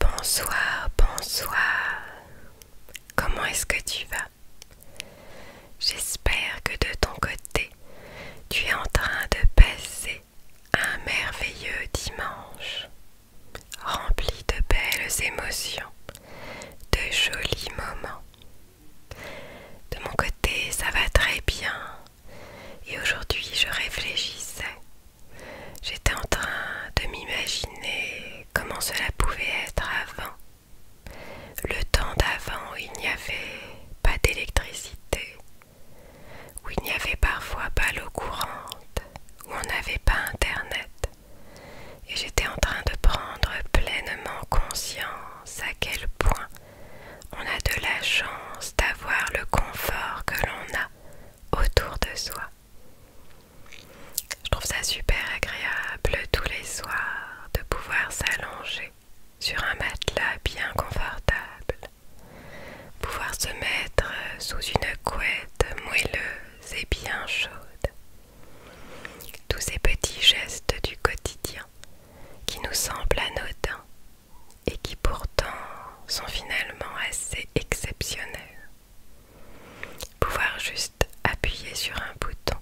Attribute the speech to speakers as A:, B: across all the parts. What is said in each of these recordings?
A: Bonsoir, bonsoir. Comment est-ce que tu vas J'espère que de ton côté, tu es en train de passer un merveilleux dimanche, rempli de belles émotions, de jolis moments. De mon côté, ça va très bien. Et aujourd'hui, je réfléchissais. J'étais en train de m'imaginer comment cela pouvait être avant. Le temps d'avant où il n'y avait pas d'électricité, où il n'y avait parfois pas l'eau courante, où on n'avait pas Internet. Et j'étais en train de prendre pleinement conscience à quel point on a de la chance d'avoir le confort que l'on a autour de soi. Je trouve ça super agréable tous les soirs de pouvoir s'allonger sur un matelas bien confortable, pouvoir se mettre sous une couette moelleuse et bien chaude. Tous ces petits gestes du quotidien qui nous semblent anodins et qui pourtant sont finalement assez exceptionnels Pouvoir juste appuyer sur un bouton,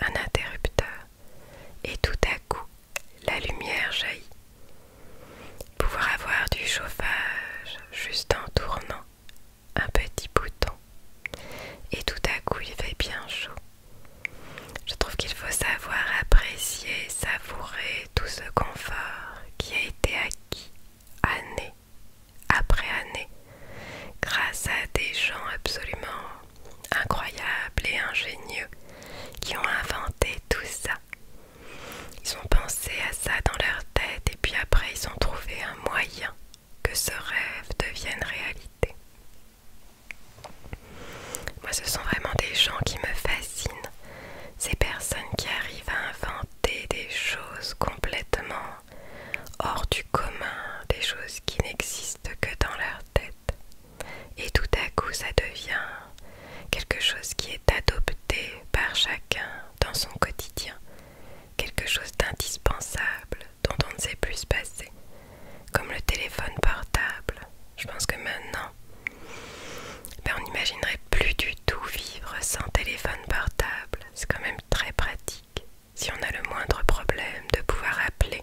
A: un interrupteur, et tout à coup, la lumière jaillit. Pouvoir avoir du chauffage juste en tournant un petit bouton, et tout à coup, il fait bien chaud. Je trouve qu'il faut savoir apprécier, savourer tout ce confort qui a été acquis année après année grâce à des gens absolument incroyables et ingénieux qui ont inventé tout ça. Ils ont pensé à ça dans leur tête et puis après ils ont trouvé un moyen que ce rêve devienne réalité. Moi ce sont vraiment des gens qui me fascinent ces personnes qui arrivent à inventer des choses complètement hors du commun, des choses qui n'existent que dans leur tête. Et tout à coup, ça devient quelque chose qui est adopté par chacun dans son quotidien, quelque chose d'indispensable dont on ne sait plus se passer, comme le téléphone portable. Je pense que maintenant, ben, on n'imaginerait plus du tout vivre sans téléphone portable. C'est quand même très pratique si on a le moindre problème de pouvoir appeler.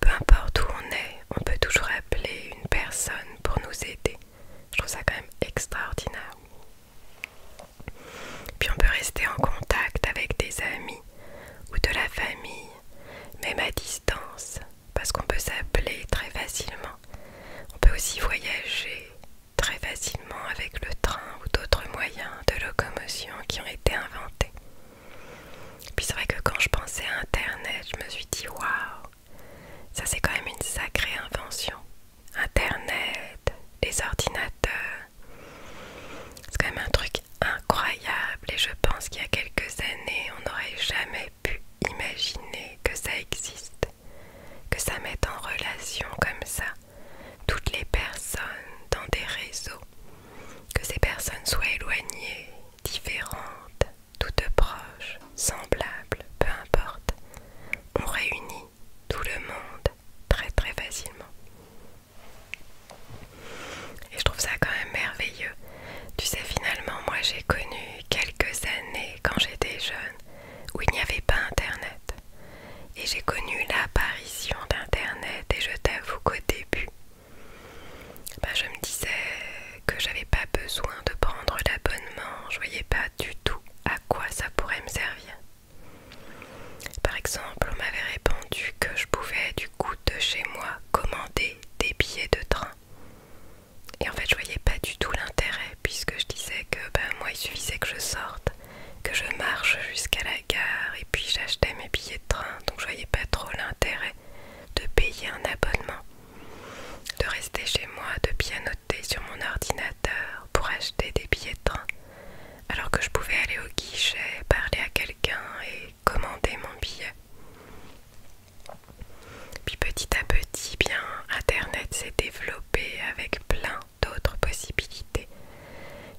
A: Peu importe où on est, on peut toujours appeler une personne pour nous aider. Je trouve ça quand même extraordinaire. Puis on peut rester en contact avec des amis ou de la famille, même à distance parce qu'on peut s'appeler très facilement. On peut aussi voyager très facilement avec le train ou d'autres moyens de locomotion qui ont été inventés. Puis c'est vrai que quand je pensais à Internet, je me suis dit waouh, ça c'est quand même une sacrée invention. Internet, les ordinateurs, c'est quand même un truc incroyable et je pense qu'il y a quelques années on n'aurait jamais pu imaginer que ça existe, que ça mette en relation comme ça toutes les personnes dans des réseaux, que ces personnes soient éloignées, différentes, toutes proches, semblables, peu importe. On réunit tout le monde très très facilement. Et je trouve ça quand même merveilleux tu sais, finalement, moi j'ai connu quelques années quand j'étais jeune où il n'y avait pas Internet. Et j'ai connu l'apparition d'Internet et je t'avoue qu'au début, bah, je me disais que j'avais pas besoin de prendre l'abonnement, je voyais pas du tout à quoi ça pourrait me servir. Par exemple, on m'avait répondu que je pouvais du coup de chez moi commander des billets de train et en fait, je voyais pas du tout l'intérêt, puisque je disais que ben moi, il suffisait que je sorte, que je marche jusqu'à la gare, et puis j'achetais mes billets de train, donc je voyais pas trop l'intérêt de payer un abonnement, de rester chez moi, de pianoter sur mon ordinateur pour acheter des billets de train, alors que je pouvais aller au guichet, parler à quelqu'un et commander mon billet. Puis petit à petit, bien, Internet s'est développé avec plein d'autres possibilités.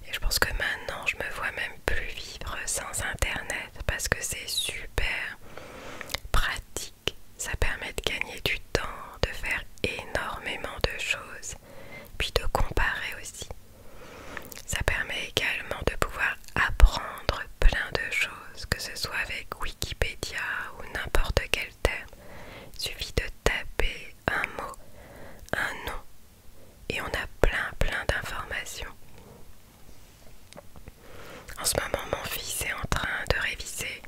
A: Et je pense que maintenant, je me vois même plus vivre sans Internet parce que c'est super pratique. Ça permet de gagner du temps, de faire énormément de choses, puis de comparer aussi. Ça permet également de pouvoir apprendre plein de choses que ce soit avec Wikipédia ou n'importe quel terme, suffit de taper un mot, un nom, et on a plein plein d'informations. En ce moment, mon fils est en train de réviser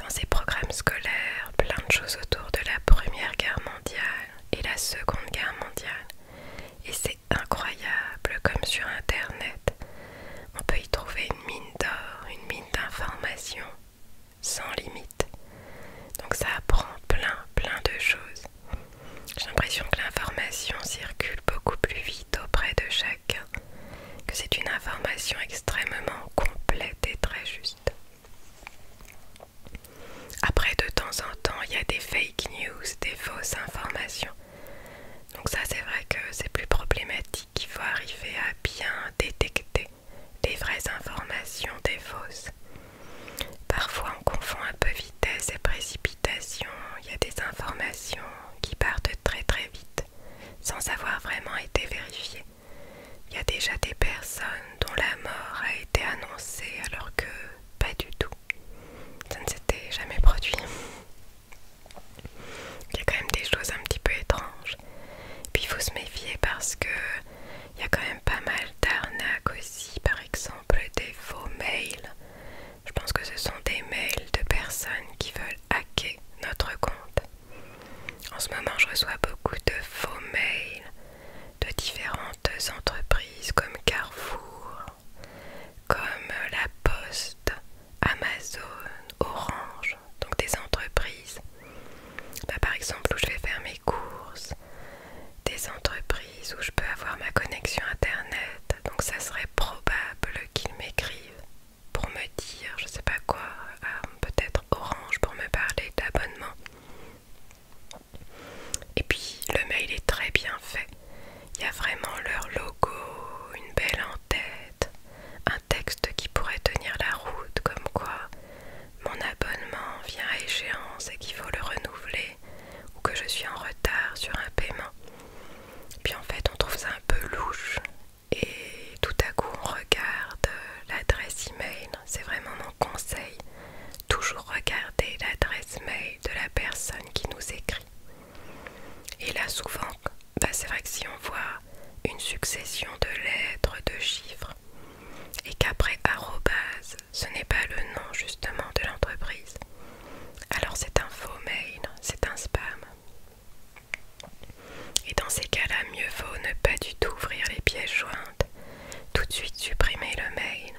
A: dans ses programmes scolaires plein de choses autour de la Première Guerre mondiale et la Seconde Guerre mondiale. Et c'est incroyable comme sur Internet, on peut y trouver une mine d'or, une mine d'informations sans limite. Donc ça apprend plein, plein de choses. J'ai l'impression que l'information circule beaucoup plus vite auprès de chacun, que c'est une information extrêmement complète et très juste. Après, de temps en temps, il y a des fake news, des fausses informations. Donc ça c'est vrai que c'est plus problématique, qu'il faut arriver à bien détecter les vraies informations des fausses. Parfois on confond un peu vitesse et précipitation, il y a des informations qui partent très très vite sans avoir vraiment été vérifiées. Il y a déjà des personnes dont la mort a été annoncée alors que pas du tout. Ça ne s'était jamais produit. Il y a quand même des choses un petit peu étranges. Puis il faut se méfier parce que il y a quand même pas mal d'arnaques aussi, par exemple des faux mails. Je pense que ce sont des mails de personnes qui veulent hacker notre compte. En ce moment, je reçois beaucoup de faux mails de différentes entreprises comme Carrefour, comme la Poste, Amazon, Orange, donc des entreprises. Bah, par exemple, où je vais faire mes courses, des entreprises où je peux avoir ma connexion internet. Donc, ça serait probable qu'ils m'écrivent pour me dire, je sais pas quoi, euh, peut-être Orange pour me parler d'abonnement. Et puis, le mail est très bien fait. Il y a vraiment leur logo, une belle en tête, un texte qui pourrait tenir la route, comme quoi mon abonnement vient à échéance et qu'il faut le renouveler, ou que je suis en retard sur un paiement. Puis en fait, on trouve ça un peu louche, et tout à coup, on regarde l'adresse email. C'est vraiment mon conseil toujours regarder l'adresse mail de la personne qui nous écrit. Et là, souvent, bah, c'est vrai que si on voit une succession de lettres, de chiffres, et qu'après arrobase, ce n'est pas le nom justement de l'entreprise, alors c'est un faux mail, c'est un spam. Et dans ces cas-là, mieux vaut ne pas du tout ouvrir les pièces jointes, tout de suite supprimer le mail.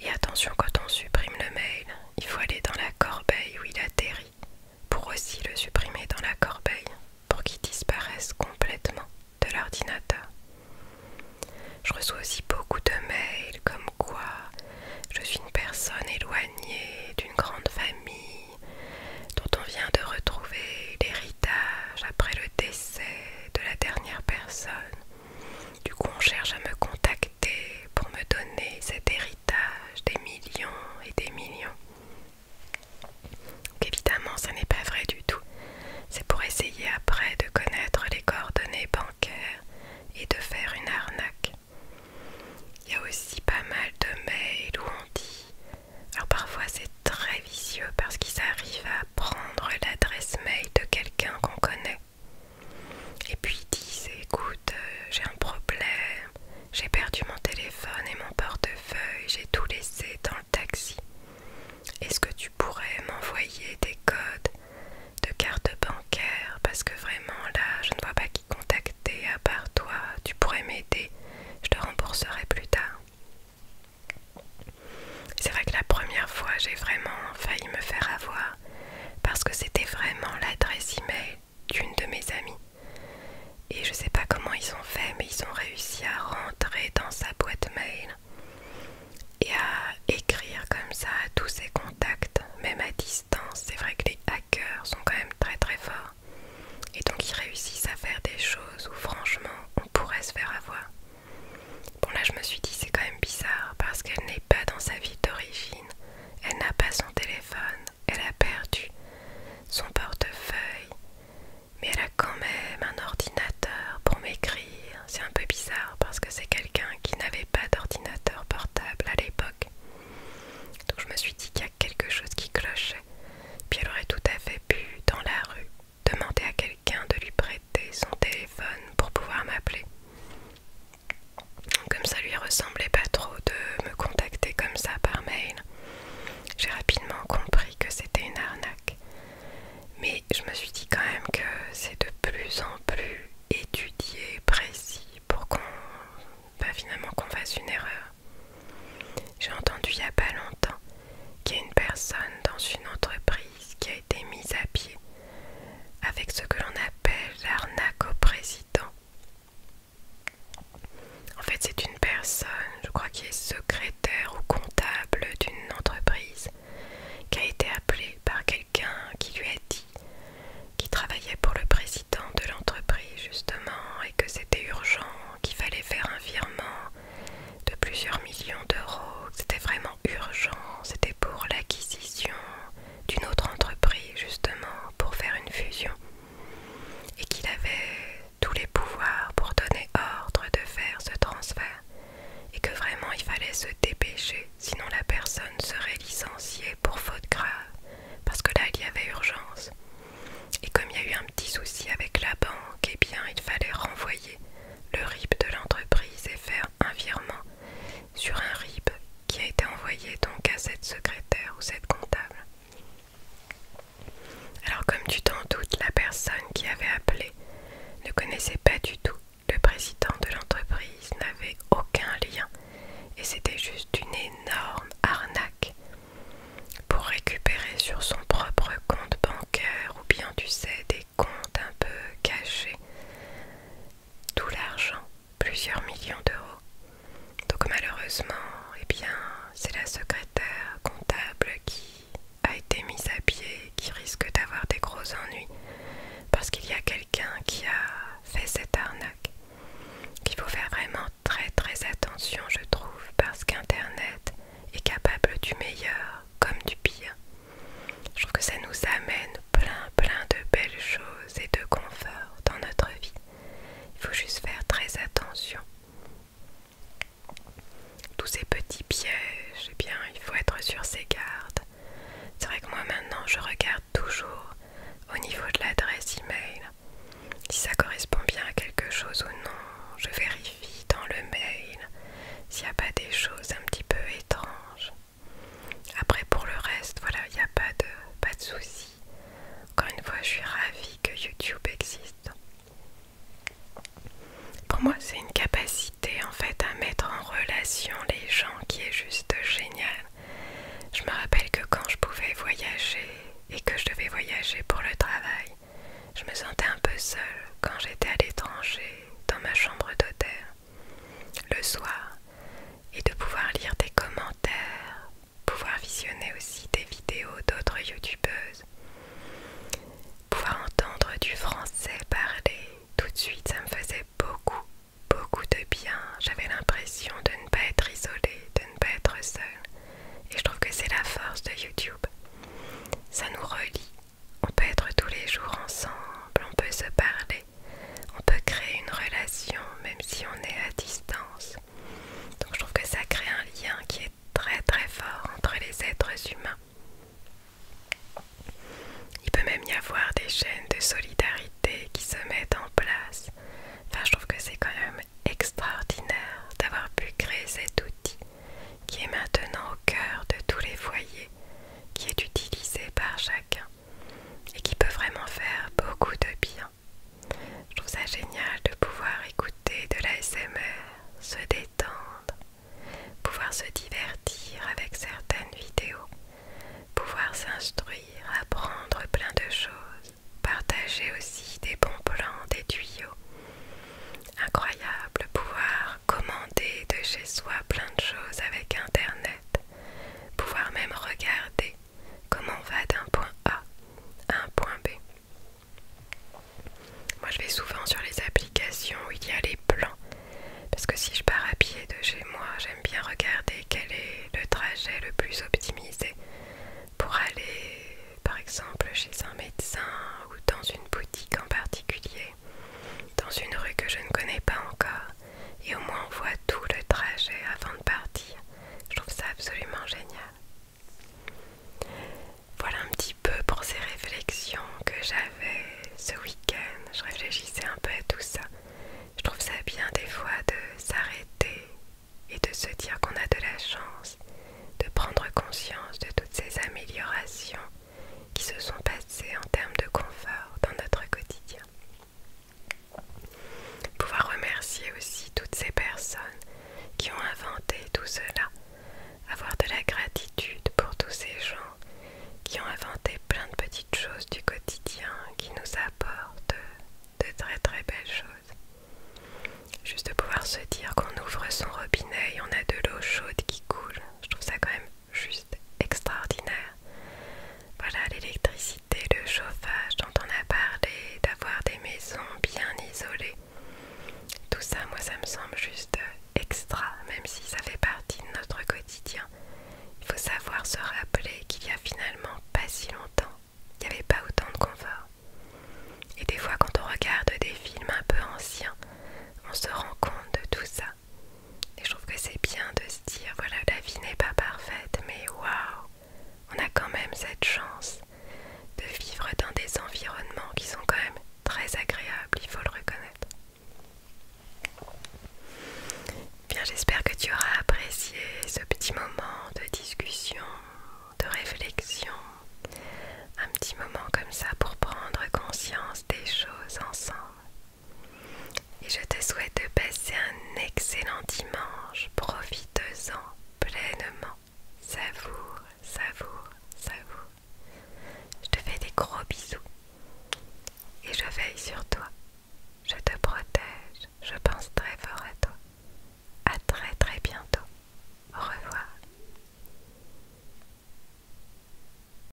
A: Et attention, quand on supprime le mail, il faut aller dans la corbeille où il atterrit pour aussi le supprimer dans la corbeille pour qu'il disparaisse complètement de l'ordinateur. Je reçois aussi beaucoup de mails comme quoi je suis une personne éloignée d'une grande famille dont on vient de retrouver l'héritage après le décès de la dernière personne du coup, on cherche à me contacter pour me donner cet héritage des millions et des millions. évidemment, ça n'est pas vrai du tout. C'est pour essayer après de connaître les coordonnées bancaires et de faire une arnaque. Il y a aussi pas mal de mails où on dit... Alors parfois c'est très vicieux parce qu'ils arrivent à prendre l'adresse mail de quelqu'un qu'on connaît. Et puis dis disent écoute, euh, j'ai un problème, j'ai perdu mon téléphone et mon portefeuille, j'ai tout laissé dans le taxi. Est-ce que tu pourrais m'envoyer des codes de carte bancaire Parce que vraiment là, je ne vois pas qui contacter à part toi. Tu pourrais m'aider, je te rembourserai plus tard. C'est vrai que la première fois, j'ai vraiment failli me faire avoir parce que c'était vraiment l'adresse email d'une de mes amies. Et je sais pas comment ils ont fait, mais ils ont réussi à rentrer dans sa boîte mail et à écrire comme ça à tous ses contacts, même à distance. C'est vrai que les hackers sont quand même très très forts. Et donc ils réussissent à faire des choses où franchement on pourrait se faire avoir. Bon là je me suis dit c'est quand même bizarre parce qu'elle n'est pas dans sa vie d'origine. Elle n'a pas son téléphone, elle a perdu son portefeuille, mais elle a quand même un ordinateur pour m'écrire. C'est un peu bizarre parce que c'est quelqu'un qui n'avait pas d'ordinateur portable à l'époque. Donc je me suis dit qu'il y a quelque chose qui clochait. Puis elle aurait tout à fait pu, dans la rue, demander à quelqu'un de lui prêter son téléphone pour pouvoir m'appeler. Comme ça lui ressemblait pas trop de me contacter comme ça par mail, j'ai rapidement compris que c'était une arnaque. Mais je me suis dit quand même que c'est de plus en plus étudié, précis, pour qu'on pas bah, finalement qu'on fasse une erreur. J'ai entendu il y a pas longtemps qu'il y a une personne dans une entreprise qui a été mise à pied avec ce que l'on appelle l'arnaque au président. En fait, c'est une personne, je crois qui est secrétaire ou comptable d'une entreprise, qui a été appelée par quelqu'un qui lui a dit qu'il travaillait pour le président de l'entreprise justement et que c'était urgent, qu'il fallait faire un virement de plusieurs millions d'euros, c'était vraiment urgent, c'était pour l'acquisition d'une autre entreprise justement pour faire une fusion et qu'il avait tous les pouvoirs pour donner ordre de faire ce transfert et que vraiment il fallait se dépêcher sinon la personne serait licenciée pour faute grave parce que là il y avait urgence et comme il y a eu un petit souci avec la banque et eh bien il fallait renvoyer le RIB de l'entreprise et faire un virement sur un RIB qui a été envoyé donc à cette secrétaire ou cette comptable. Alors comme tu t'en doutes, la personne qui avait appelé ne connaissait pas du tout le président de l'entreprise, n'avait aucun lien et c'était juste une énorme arnaque pour récupérer sur son propre compte bancaire ou bien tu sais des comptes un peu cachés tout l'argent, plusieurs millions d'euros. Donc malheureusement, eh bien, c'est la secrétaire comptable qui a été mise à pied, qui risque d'avoir des gros ennuis, parce qu'il y a quelqu'un qui a fait cette arnaque. Il faut faire vraiment très très attention, je trouve, parce qu'Internet est capable du meilleur comme du pire. Je trouve que ça nous amène plein plein de belles choses et de confort dans notre vie. Il faut juste faire très attention. Tous ces petits pièges, eh bien, il faut être sur ses gardes. C'est vrai que moi maintenant, je regarde toujours au niveau de l'adresse email. Si ça correspond bien à quelque chose ou non, je vérifie dans le mail s'il n'y a pas des choses un petit peu étranges. Après, pour le reste, voilà, il n'y a pas de, pas de souci. Encore une fois, je suis ravie que YouTube existe. Pour moi, c'est une capacité en fait à mettre en relation les gens qui est juste géniale. Je me rappelle que quand je pouvais voyager et que je devais voyager pour le travail, je me sentais un peu seule quand j'étais à l'étranger dans ma chambre d'hôtel le soir et de pouvoir lire des commentaires, pouvoir visionner aussi des vidéos d'autres youtubeuses, pouvoir entendre du français parler tout de suite, ça me faisait beaucoup, beaucoup de bien. J'avais l'impression de ne pas être isolée, de ne pas être seule. Et je trouve que c'est la force de YouTube. Ça nous relie. On peut être tous les jours ensemble, on peut se parler, on peut créer une relation même si on est à distance. Donc je trouve que ça crée un lien qui est très très fort entre les êtres humains. Il peut même y avoir des chaînes de solidarité qui se mettent en place. Enfin, je trouve que c'est quand même extraordinaire d'avoir pu créer cet outil qui est maintenant au cœur de tous les foyers, qui est utilisé par chacun et qui peut vraiment faire beaucoup de bien. Je trouve ça génial de pouvoir écouter de l'ASMR, se détendre, pouvoir se divertir avec certaines vidéos, pouvoir s'instruire, apprendre plein de choses, partager aussi des bons plans, des tuyaux. Incroyable pouvoir commander de chez soi plein de choses avec Internet pouvoir même regarder comment on va d'un point A à un point B. Moi je vais souvent sur les applications où il y a les plans, parce que si je pars à pied de chez moi, j'aime bien regarder quel est le trajet le plus optimisé pour aller par exemple chez un médecin ou dans une boutique en particulier dans une rue que je ne connais pas encore, et au moins on voit tout le trajet avant de partir. Je trouve ça absolument génial. Voilà un petit peu pour ces réflexions que j'avais ce week-end. Je réfléchissais un peu à tout ça. Je trouve ça bien des fois de s'arrêter et de se dire qu'on a de la chance de prendre conscience de toutes ces améliorations qui se sont passées en termes de confort dans notre quotidien. Pouvoir remercier aussi toutes ces personnes qui ont inventé tout cela, avoir de la gratitude pour tous ces gens qui ont inventé plein de petites choses du quotidien qui nous apportent de très très belles choses. Juste de pouvoir se dire qu'on ouvre son robinet et on a de l'eau chaude qui coule, je trouve ça quand même juste extraordinaire. Voilà l'électricité, le chauffage dont on a parlé, d'avoir des maisons bien isolées. Tout ça, moi, ça me semble juste extra, même si ça fait partie de notre quotidien. Il faut savoir se rappeler qu'il y a finalement pas si longtemps, il n'y avait pas autant de confort. Et des fois, quand on regarde des films un peu anciens, on se rend compte de tout ça. Et je trouve que c'est bien de se dire voilà, la vie n'est pas parfaite, mais waouh, on a quand même cette chance de vivre dans des environnements qui sont quand même très agréables, il faut le reconnaître. Bien, j'espère que tu auras apprécié ce petit moment de discussion, de réflexion, un petit moment comme ça pour prendre conscience des choses ensemble. Et je te souhaite de passer un excellent dimanche. Profite-en pleinement. Savoure, savoure, savoure. Je te fais des gros bisous. Et je veille sur toi. Je te protège. Je pense très fort à toi. À très très bientôt. Au revoir.